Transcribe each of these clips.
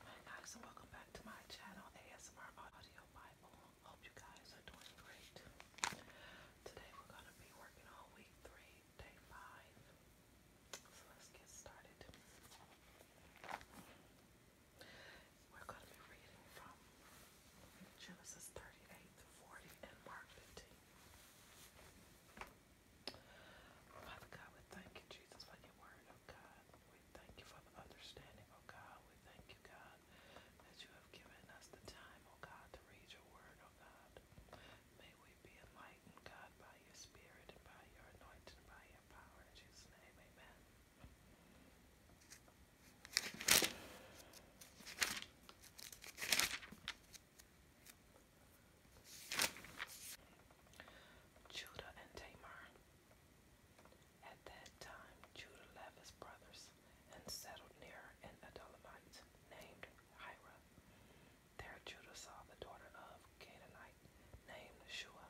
Hi guys and welcome back to my channel ASMR Audio Bible. Hope you guys are doing great. Today we're going to be working on week 3, day 5. So let's get started. We're going to be reading from Genesis 38 to 40 and Mark 15. Father God, we thank you, Jesus, for your word, oh God. We thank you for the understanding, oh God. We thank you, God, that you have given us the time, oh God, to read your word, oh God. May we be enlightened, God, by your spirit and by your anointing, and by your power. In Jesus' name, amen. Judah and Tamar. At that time, Judah left his brothers and settled near an Adullamite named Hira. There Judah saw the daughter of Canaanite named Shua.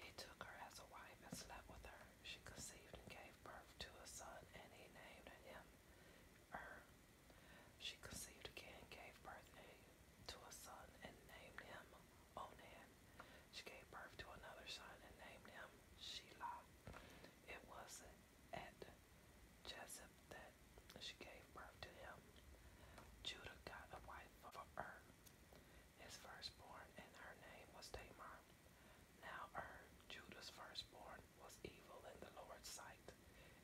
He took her as a wife and slept with her. She conceived and gave birth to a son, and he named him Er. She conceived again, gave birth, to a son and named him Onan. She gave birth to another son and named him Shelah. It was at Jezeb that she gave birth to him. Judah got a wife for Ur, his firstborn, and her name was Tamar. Now Ur, Judah's firstborn, was evil in the Lord's sight,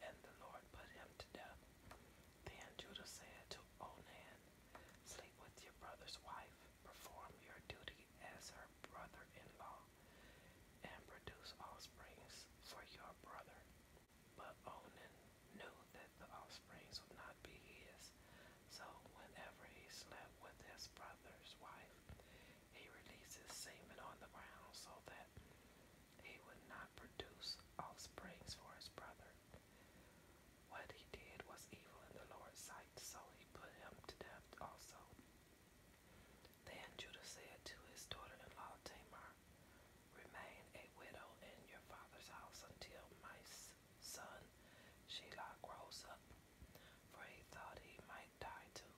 and the Lord put him to death then Judah said to Onan, Sleep with your brother's wife, perform your duty as her brother in law, and produce offsprings for your brother. But Onan knew that the offsprings would not be his, so whenever he slept with his brother's wife, he released his semen on the ground so that he would not produce offsprings for his brother. What he did was evil in the Lord's sight, so he put him to death also. Then Judah said to his daughter in law Tamar, Remain a widow in your father's house until my son Shelah grows up, for he thought he might die too,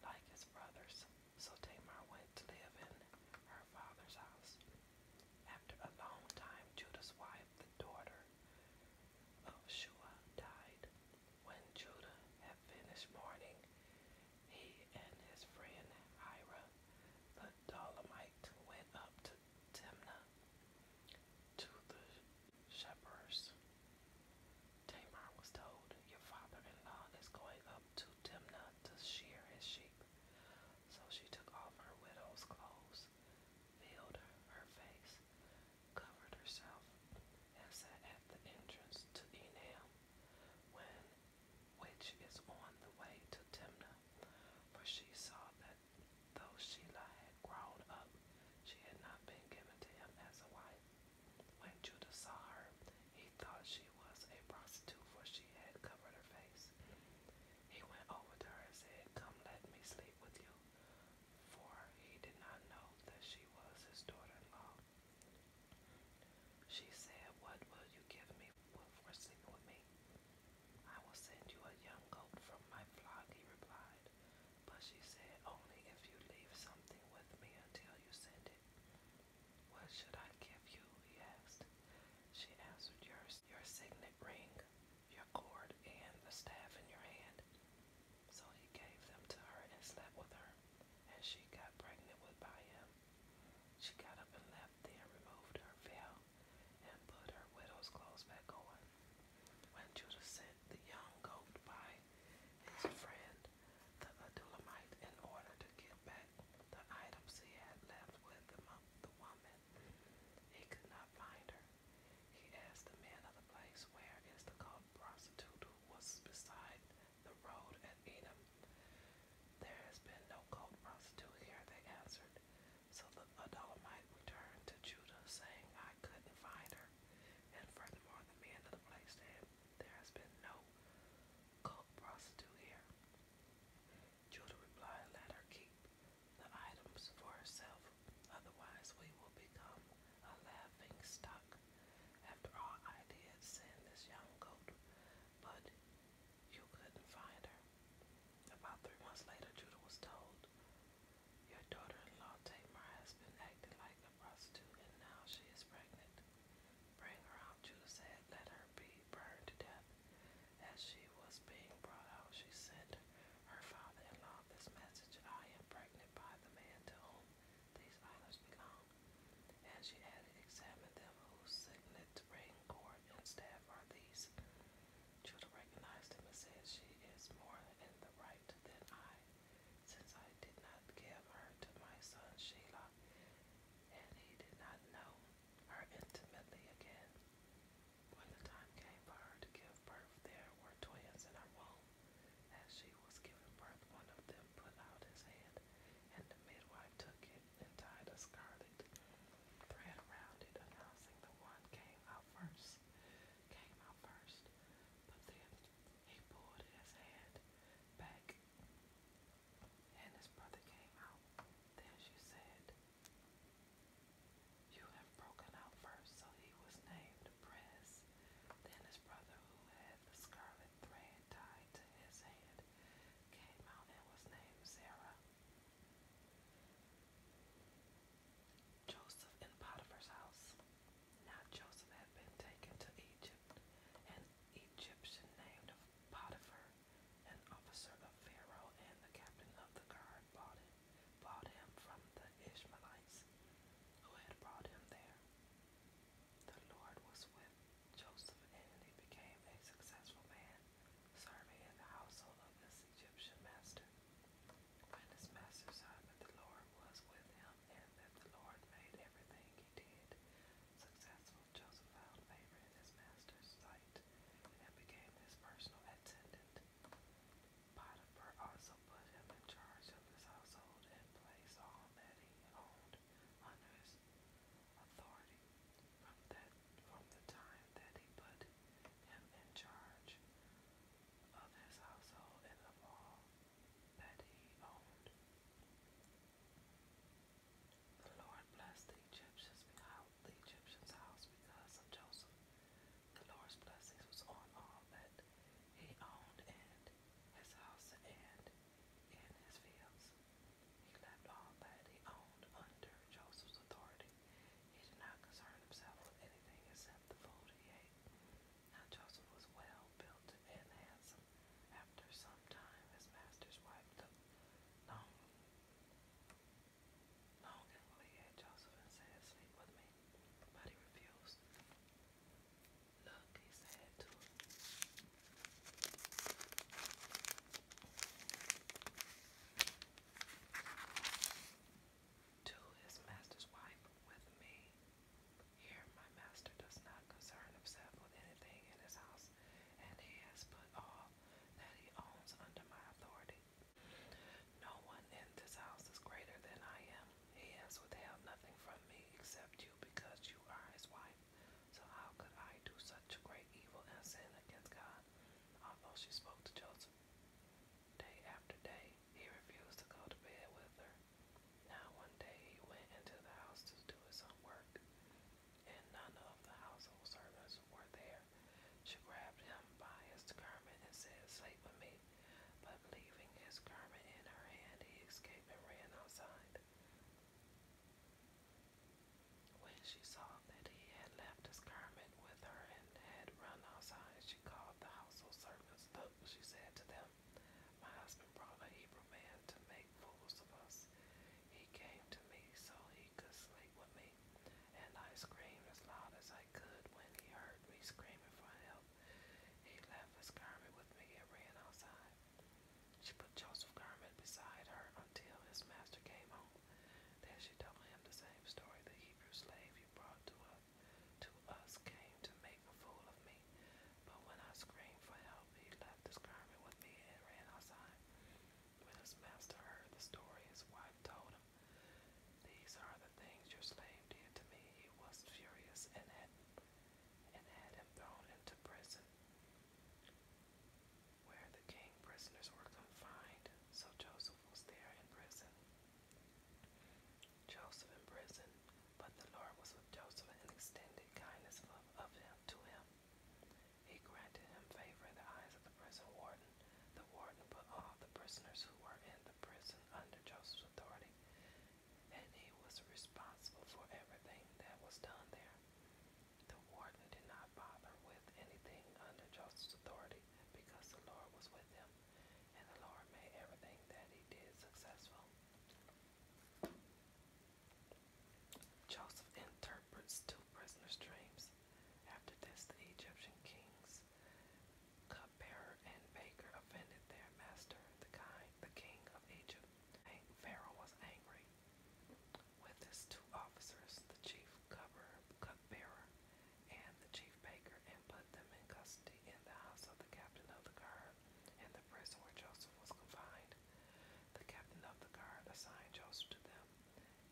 like his brothers. So Tamar went to live in her father's house. After a long time, Judah's wife, the daughter of Shua, died. When Judah had finished mourning, he and his friend Hira, the Dolomite, went up to Timnah to the shepherds. Tamar was told, Your father in law is going up to Timnah to shear his sheep. So she took off her widow's clothes, veiled her face, covered herself, and sat at the entrance to Enam, when, which is on the way to Timnah, for she saw that though Shelah had grown up, she had not been given to him as a wife. When Judah saw her, he thought she was a prostitute, for she had covered her face. He went over to her and said, Come let me sleep with you, for he did not know that she was his daughter-in-law. She said, What will you give me for sleeping with me? I will send you a young goat from my flock, he replied. But she said, Only if you leave something with me until you send it. What should I give you? he asked. She answered, Your your signet ring, your cord, and the staff in your hand. So he gave them to her and slept with her, and she got pregnant with by him. She got up and left, then removed her veil and put her widow's clothes back on. When Judah sent the young goat by his friend, the Adullamite, in order to get back the items he had left with the, the woman, he could not find her. He asked the man of the place, Where is the called prostitute who was beside the road at Edom? There has been no called prostitute here, they answered. So the Adullamite returned to Judah, saying, I couldn't find her. And furthermore, the man of the place said, There has been no cult prostitute here. Judah replied, Let her keep the items for herself, otherwise we will become a laughing stock. After all, I did send this young goat, but you couldn't find her. About three months later, Judah was told, Your daughter-in-law Tamar has been acting like a prostitute, and now she is pregnant. Bring her Judah said, Let her be burned to death. As she was being brought out, she sent her father in law this message I am pregnant by the man to whom these items belong. And she added, Examine them whose signet, ring, cord, and staff are these. Judah recognized him and said, She is more in the right than I, since I did not give her to my son Shelah, and he did not know her intimately again. When the time came for her to give birth, there were twins in her womb. As she was giving birth, one of them put out his hand, and the midwife took it and tied a scarlet thread around it, announcing the one came out first. Came out first. But then he pulled his hand back, and his brother came out. Then she said, you have broken out first, so he was named Press. Then his brother, who had the scarlet thread tied to his hand, came out and was named Zerah. Joseph in Potiphar's house. Now Joseph had been taken to Egypt. An Egyptian named Potiphar, an officer of Pharaoh and the captain of the guard bought, it, bought him from the Ishmaelites who had brought him there. The Lord was with Joseph, and he became a successful man, serving in the household of his Egyptian master. When his master saw that the Lord was with him, and that the Lord made everything he did successful, Joseph found favor in his master's sight and became his personal attendant. Potiphar also put him in charge of his household and placed all that he owned under his authority. From that, from the time that he put him in charge of his household and of all that he owned. The Lord blessed the Egyptians, the Egyptians' house because of Joseph. The Lord's blessings was on all that he owned and his house and in his fields. He left all that he owned under Joseph's authority. He did not concern himself with anything except the food he ate. Now Joseph was well built and handsome. After some time, his master's wife took long Long and had Josephine said, sleep with me, but he refused. Look, he said to To his master's wife, with me. Here my master does not concern himself with anything in his house, and he has put off." all that he owns under my authority. No one in this house is greater than I am. He has withheld nothing from me except you because you are his wife. So how could I do such great evil and sin against God? Although she spoke to Joseph day after day, he refused to go to bed with her. Now one day he went into the house to do his own work and none of the household servants were there. She grabbed him by his garment and said, Sleep with me. But leaving his garment in her hand, he escaped and ran outside. When she saw that he had left his garment with her and had run outside, she called the household servants. Look, she said to them, My husband brought a Hebrew man to make fools of us. He came to me, so he me could sleep with me, and I screamed as loud as I could when he heard me screaming for help. He left his garment with me and ran outside. She put Joseph's garment beside her until his master came home. Then she told him the same story. The Hebrew slave you brought to us, to us came to make a fool of me. But when I screamed for help, he left his garment with me and ran outside. When his master heard the story, his wife told him, These are the things your slave did to me. He was furious and had, and had him thrown into prison, where the king prisoners were confined. So Joseph was there in prison. Joseph in prison, but the Lord was with Joseph and extended kindness of, of him to him. He granted him favor in the eyes of the prison warden. The warden put all the prisoners who were in the prison under Joseph's authority, and he was responsible for everything that was done there. The warden did not bother with anything under Joseph's authority because the Lord was with him, and the Lord made everything that he did successful. Joseph interprets two prisoners' dreams. After this, the Egyptian kings, cupbearer and baker, offended their master, the king, the king of Egypt. Pharaoh was angry with his two officers, the chief cupbearer, cupbearer and the chief baker, and put them in custody in the house of the captain of the guard in the prison where Joseph was confined. The captain of the guard assigned Joseph to them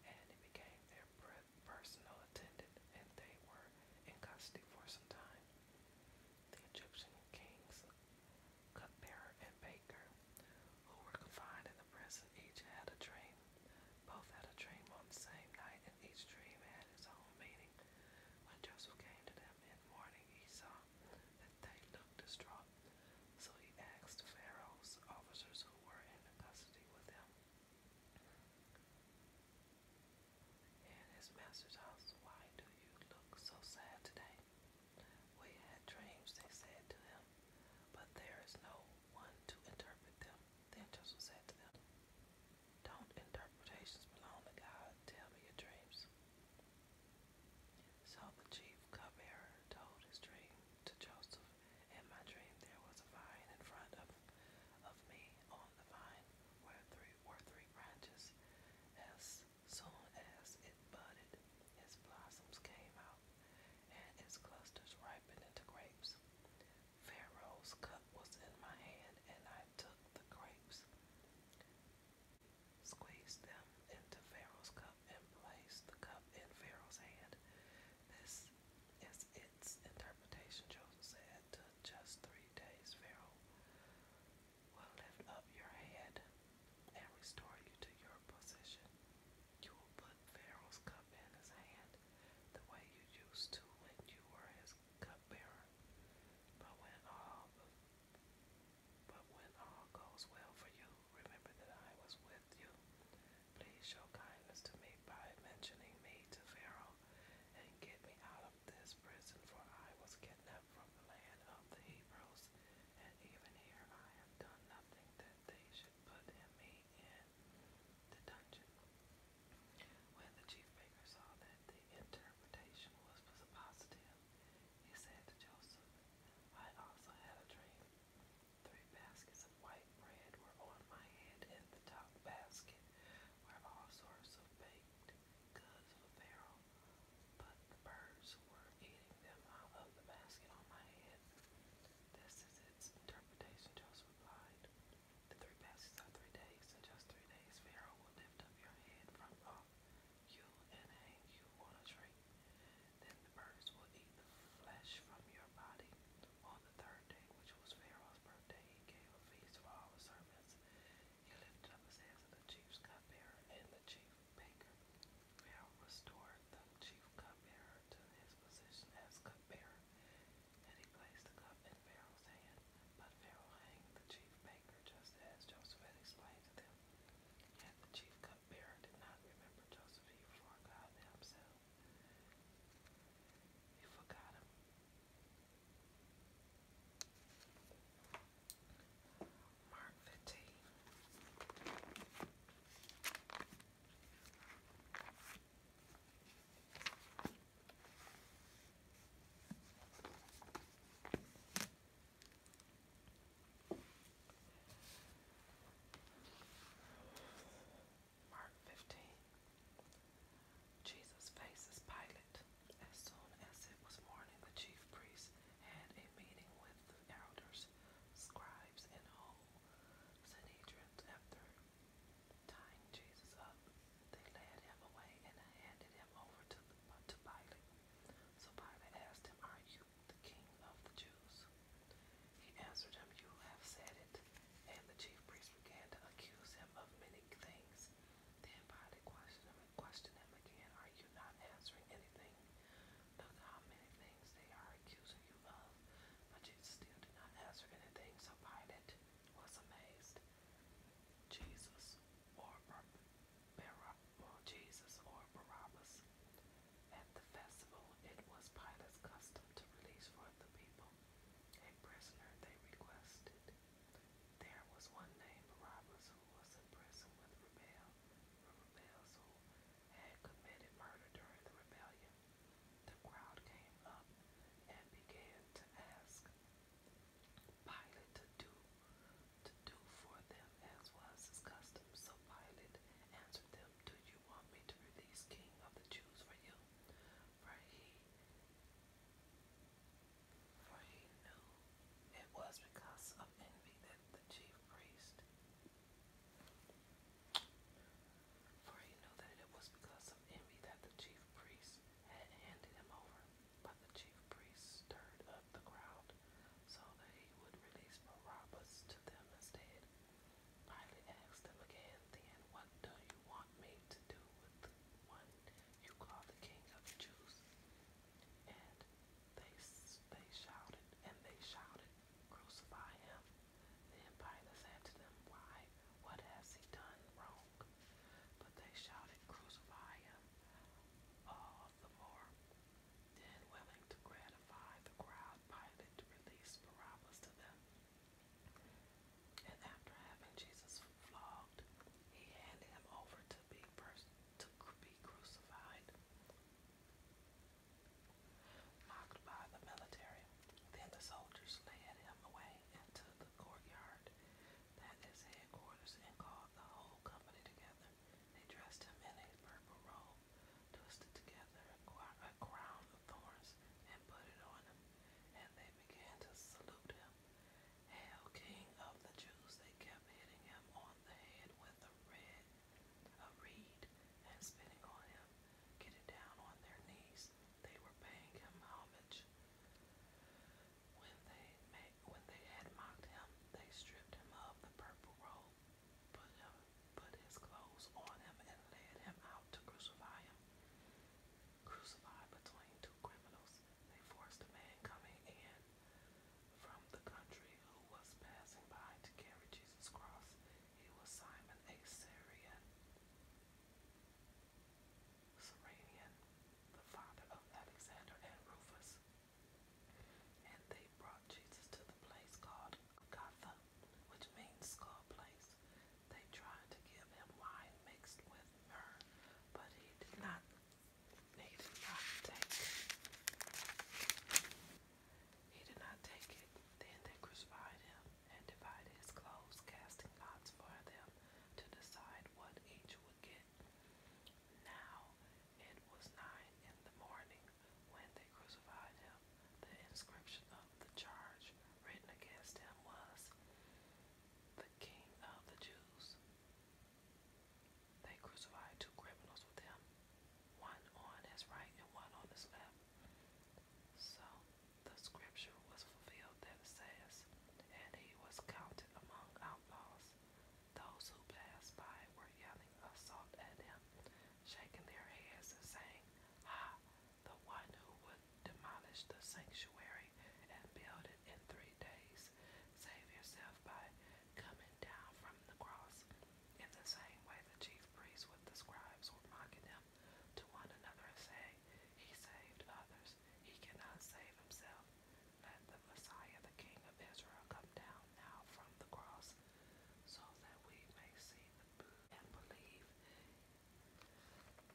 and he became their personal attendant, and they were in custody for some time. The Egyptian kings, cupbearer and baker, who were confined in the prison, each had a dream. Both had a dream on the same night, and each dream had its own meaning. When Joseph came to them in the morning, he saw that they looked distraught. So he asked Pharaoh's officers who were in custody with him in his master's house, Why do you look so sad today? We had dreams, they said to him, but there is no one to interpret them. Then Joseph said to them, Don't interpretations belong to God? Tell me your dreams. So the chief cupbearer told his dream to Joseph, in my dream there was a vine in front of, of me. On the vine were three were three branches. As soon as it budded, its blossoms came out, and its clusters ripened into grapes. Pharaoh's cup was in my hand, and I took the grapes, squeezed them into Pharaoh's cup and placed the cup in Pharaoh's hand. This is its interpretation, Joseph said. To just three days, Pharaoh will lift up your head and restore you to your position. You will put Pharaoh's cup in his hand the way you used to when you were his cupbearer. But when all but when all goes well for you, remember that I was with you. Please show kindness to me by mentioning me to Pharaoh and get me out of this prison, for I was kidnapped from the land of the Hebrews, and even here I have done nothing that they should put me in the dungeon. When the chief baker saw that the interpretation was positive, he said to Joseph, I also had a dream. Three baskets of white bread were on my head, and the top basket were all sorts of baked goods of apparel, but the birds were eating them out of the basket on my head. This is its interpretation, Joseph replied. The three baskets are three days, and just three days Pharaoh will lift up your head from off you and hang you on a tree. Then the birds will eat the flesh from your body. On the third day, which was Pharaoh's birthday, he gave a feast for all his servants. He lifted up his hands to the chief's cupbearer and the chief baker. Pharaoh restored the chief cupbearer to his position as cupbearer, and he placed the cup in Pharaoh's hand. But Pharaoh hanged the chief baker, just as Joseph had explained to them. Yet the chief cupbearer did not remember Joseph, he forgot himself you forgot him. Mark fifteen. Mark 15. Jesus faces Pilate. As soon as it was morning, the chief priests had a meeting with the elders, scribes, and all. Sanhedrin. After tying Jesus up, they led him away and handed him over to, to Pilate. So Pilate asked him, Are you the king of the Jews. He answered him, You have said it. And the chief priests began to accuse him of many things. Then Pilate questioned him and questioned him again, Are you not answering anything? Look how many things they are accusing you of. But Jesus still did not answer anything, so Pilate was amazed. Jesus or Bar Jesus or Barabbas at the festival, it was Pilate's custom to release for the people a prisoner they requested. There was one named Barabbas who was in prison with rebel, rebels who had committed murder during the rebellion. The crowd came up and began to ask Pilate to do to do for them as was his custom. So Pilate answered them, Do you want me to release King of the Jews for you? For he, for he knew it was because of envy that the chief priest, for he knew that it was because of envy that the chief priest had handed him over. But the chief priest stirred up the crowd so that he would release Barabbas to them instead. Pilate asked him again, Then what do you want me to do with the one you call the king of the Jews? And they, they shouted, and they shouted, Crucify him. Then Pilate said to them, Why? What has he done wrong? But they shouted, Crucify him. All the more then, willing to gratify the crowd, Pilate released Barabbas to them. And after having Jesus flogged, he handed him over to be pers- to be crucified, by the military. Then the soldiers led him away into the courtyard that is headquarters and called the whole company together. They dressed him in a purple robe twisted together a crown of thorns and put it on him, and they began to salute him. Hail, King of the Jews! They kept hitting him on the head with a red, a reed, and spitting on him, getting down on their knees. They were paying him homage. When they made, when they had mocked him, they stripped him of the purple robe put, put his clothes on him and led him out to crucify him. Crucified between two criminals, they forced a man coming in from the country who was passing by to carry Jesus' cross. He was Simon, a Syrian. Cyrenian, the father of Alexander and Rufus. And they brought Jesus to the place called Gotha, which means skull place. They tried to give him wine mixed with myrrh, but he did not he did not take it. He did not take it. Then they crucified him and divided his clothes, casting lots for them to decide what each would get. Now it was nine in the morning when they crucified him. The inscription of the charge written against him was the King of the Jews. They crucified two criminals with him, one on his right and one on his left. So the scripture was fulfilled that says, And he was counted among outlaws. Those who passed by were yelling assault at him, shaking their heads and saying, Ah, the one who would demolish the sanctuary and build it in three days. Save yourself by coming down from the cross. In the same way, the chief priests with the scribes were mocking him to one another saying, He saved others, he cannot save himself. Let the Messiah, the King of Israel, come down now from the cross, so that we may see and believe,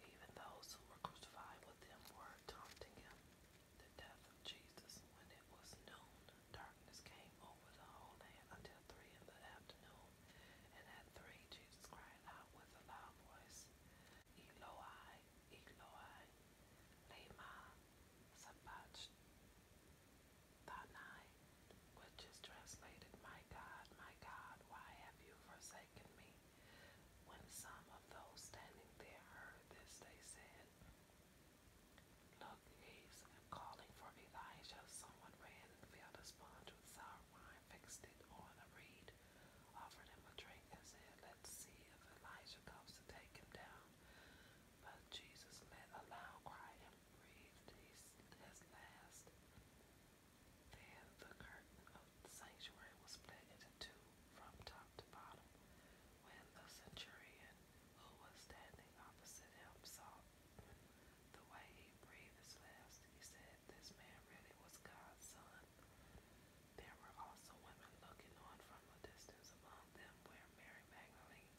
even those who were crucified with him were taunting him. The death of Jesus. When it was noon, darkness came over the whole land until three in the afternoon. And at three, Jesus cried out with a loud voice, Eloi, Eloi, lema sabachthani the night, which is translated, My God, my God, why have you forsaken me? When some of those standing there heard this, they said, Look, he's calling for Elijah. Someone ran and filled a sponge with sour wine, fixed it on a reed, offered him a drink, and said, Let's see if Elijah comes to take him down. But Jesus let a loud cry man his, last. Then the curtain of the sanctuary was split into two from top to bottom. When the centurion who was standing opposite him saw the way he breathed his last, he said, This man really was God's son. There were also women looking on from a distance among them were Mary Magdalene,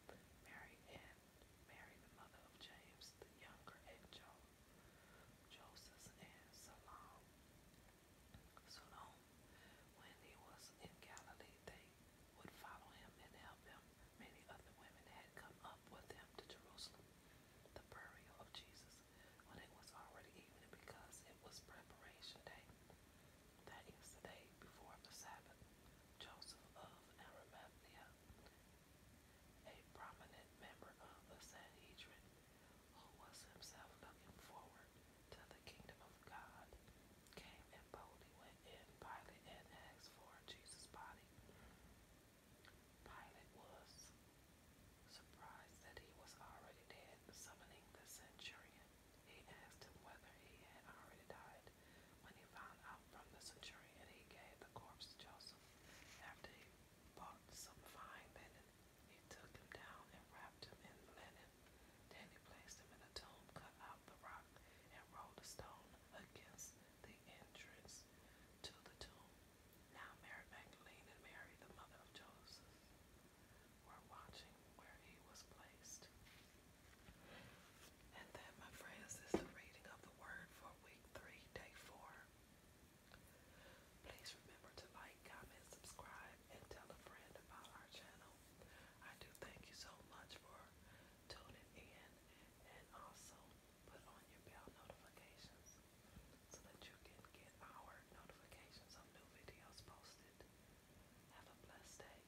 Mary and Mary, the mother of James the Younger, and jo Joseph and Salome. Salome, when he was in Galilee, they would follow him and help him. Many other women had come up with him to Jerusalem. The burial of Jesus, when it was already evening, because it was preparation day. That is the day before the Sabbath. Joseph of Arimathea, a prominent member of the Sanhedrin, who was himself looking forward to the kingdom of God, came and boldly went in Pilate and asked for Jesus' body. Pilate was surprised that he was already dead. Summoning the centurion, he asked him whether he had already died. When he found out from the centurion, he gave the corpse to Joseph. After he bought some fine linen, he took him down and wrapped him in linen. Then he placed him in a tomb, cut out the rock, and rolled a stone against the entrance to the tomb. Now Mary Magdalene and Mary, the mother of Joseph, were watching where he was placed. And that, my friends, is the reading of the Word for week three, day four. Please remember to like, comment, subscribe, and tell a friend about our channel. I do thank you so much for tuning in and also put on your bell notifications so that you can get our notifications of new videos posted. Have a blessed day.